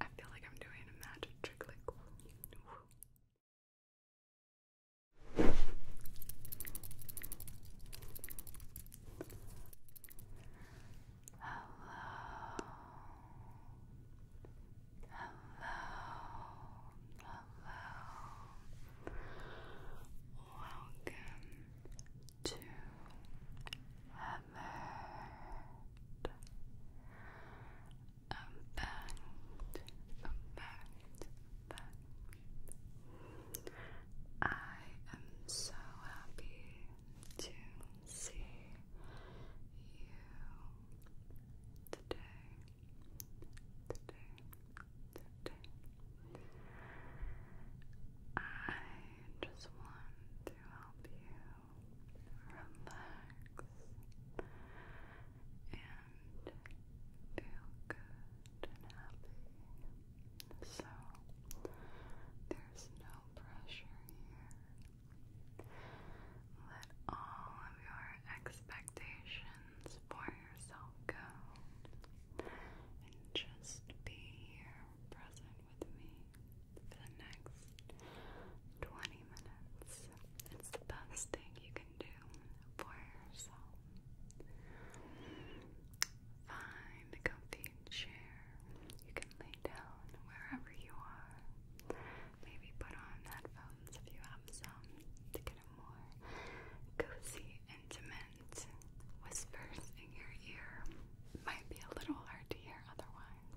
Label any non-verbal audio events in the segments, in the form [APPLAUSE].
I feel like I'm doing a magic trick like hello. Welcome to Hammered. I'm I am so happy to see you today, today, today. I just want to help you relax and feel good and happy. So, there's no pressure here. Let all of your expectations for yourself go and just be here present with me for the next 20 minutes. It's the best thing you can do for yourself. Find comfy can You can lay down wherever you are. Maybe put on headphones if you have some to get a more cozy, intimate whispers in your ear. Might be a little hard to hear otherwise.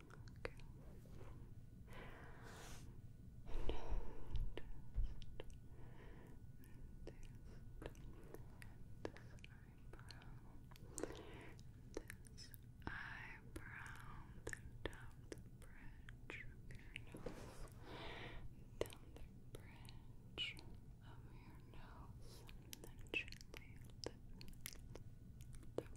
Okay. And just, and this eyebrow, this eyebrow, then down the bridge of your nose, down the bridge of your nose, and then gently lift the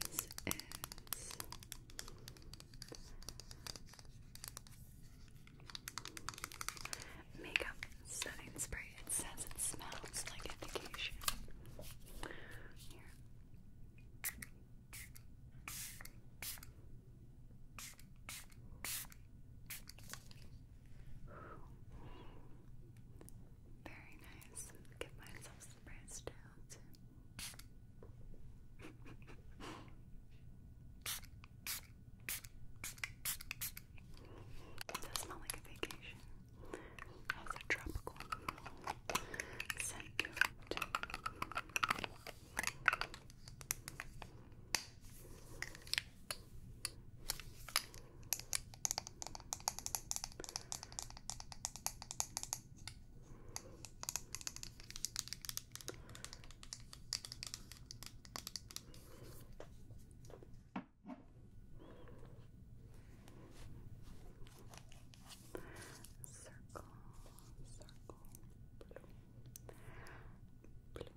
This is makeup setting spray. It says it smells like education. Here. Very nice. Give myself some brains out. It like a vacation. Has a tropical scent to it. Circle, circle, blue, blue,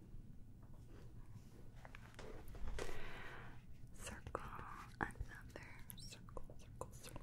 Circle another circle, circle, circle.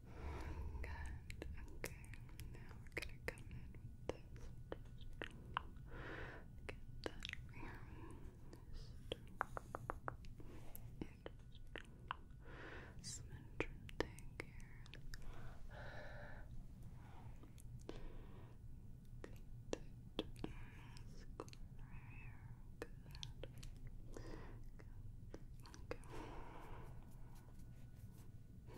Good. Okay. Now we're gonna come in with this. get that round. Just some interesting here. Get that square Good. Good. Okay. Um,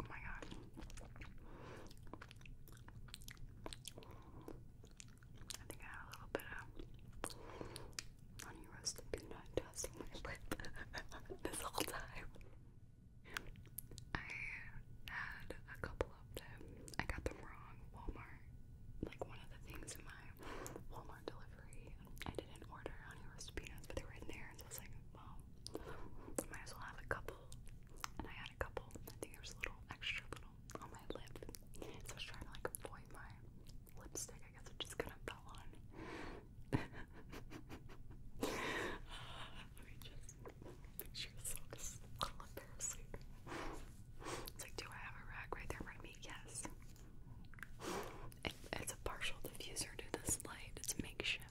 oh my god. I think I had a little bit of honey roasted peanut in my lip [LAUGHS] this whole time. I had a couple of them. I got them wrong. Walmart, like one of the things in my Walmart delivery, I didn't order honey roasted peanuts, but they were in there, and so I was like, well, might as well have a couple. And I had a couple. I think there was a little extra little on my lip. So I was trying to like avoid my lipstick. I guess I just kind of fell on. [LAUGHS] Let me just picture this looks a little embarrassing. It's like, do I have a rag right there in me? Yes. it's a partial diffuser to this light. It's makeshift. [LAUGHS]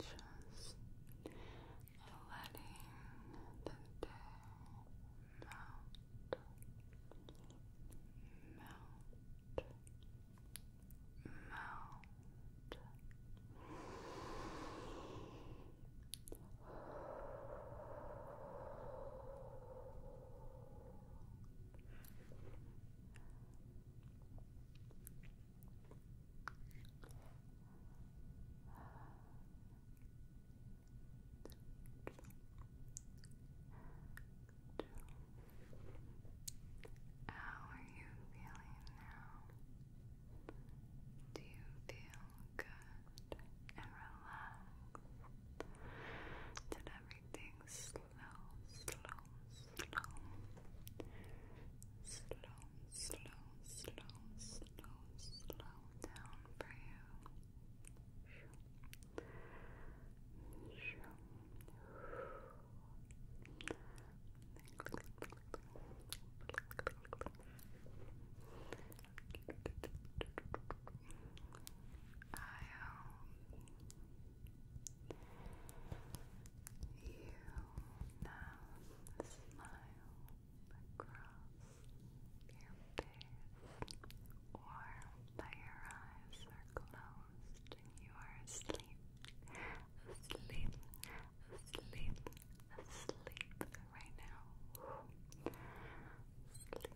Just letting the day melt, melt, melt. How are you feeling now? Do you feel good? and relaxed. Did everything slow, slow, slow. Slow, slow, slow, slow, slow down for you. I hope you now smile across your face or that your eyes are closed you are asleep, asleep, asleep, asleep right now. Sleep,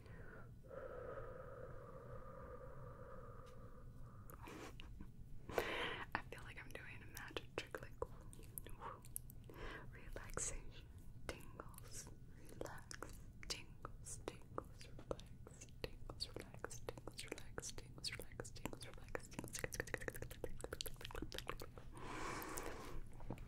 I feel like I'm doing a magic trick like relaxation tingles relax tingles tingles relax tingles relax tingles relax tingles relax tingles relax tingles relax tingles relax tingles relax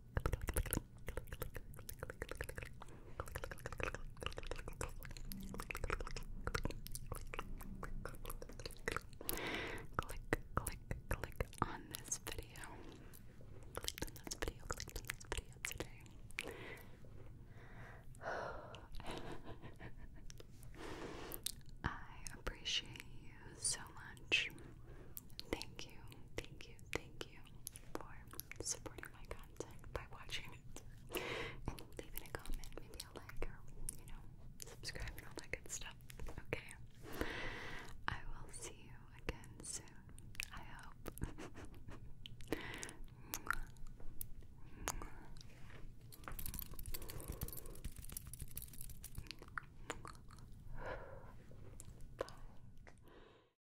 Click, click, click on this video. Click on this video, click on this video today. I appreciate you so much. Thank you, thank you, thank you for supporting my content by watching it. And leaving a comment, maybe a like or, you know, subscribe and all that good stuff. Okay. I will see you again soon. I hope. [LAUGHS] Bye.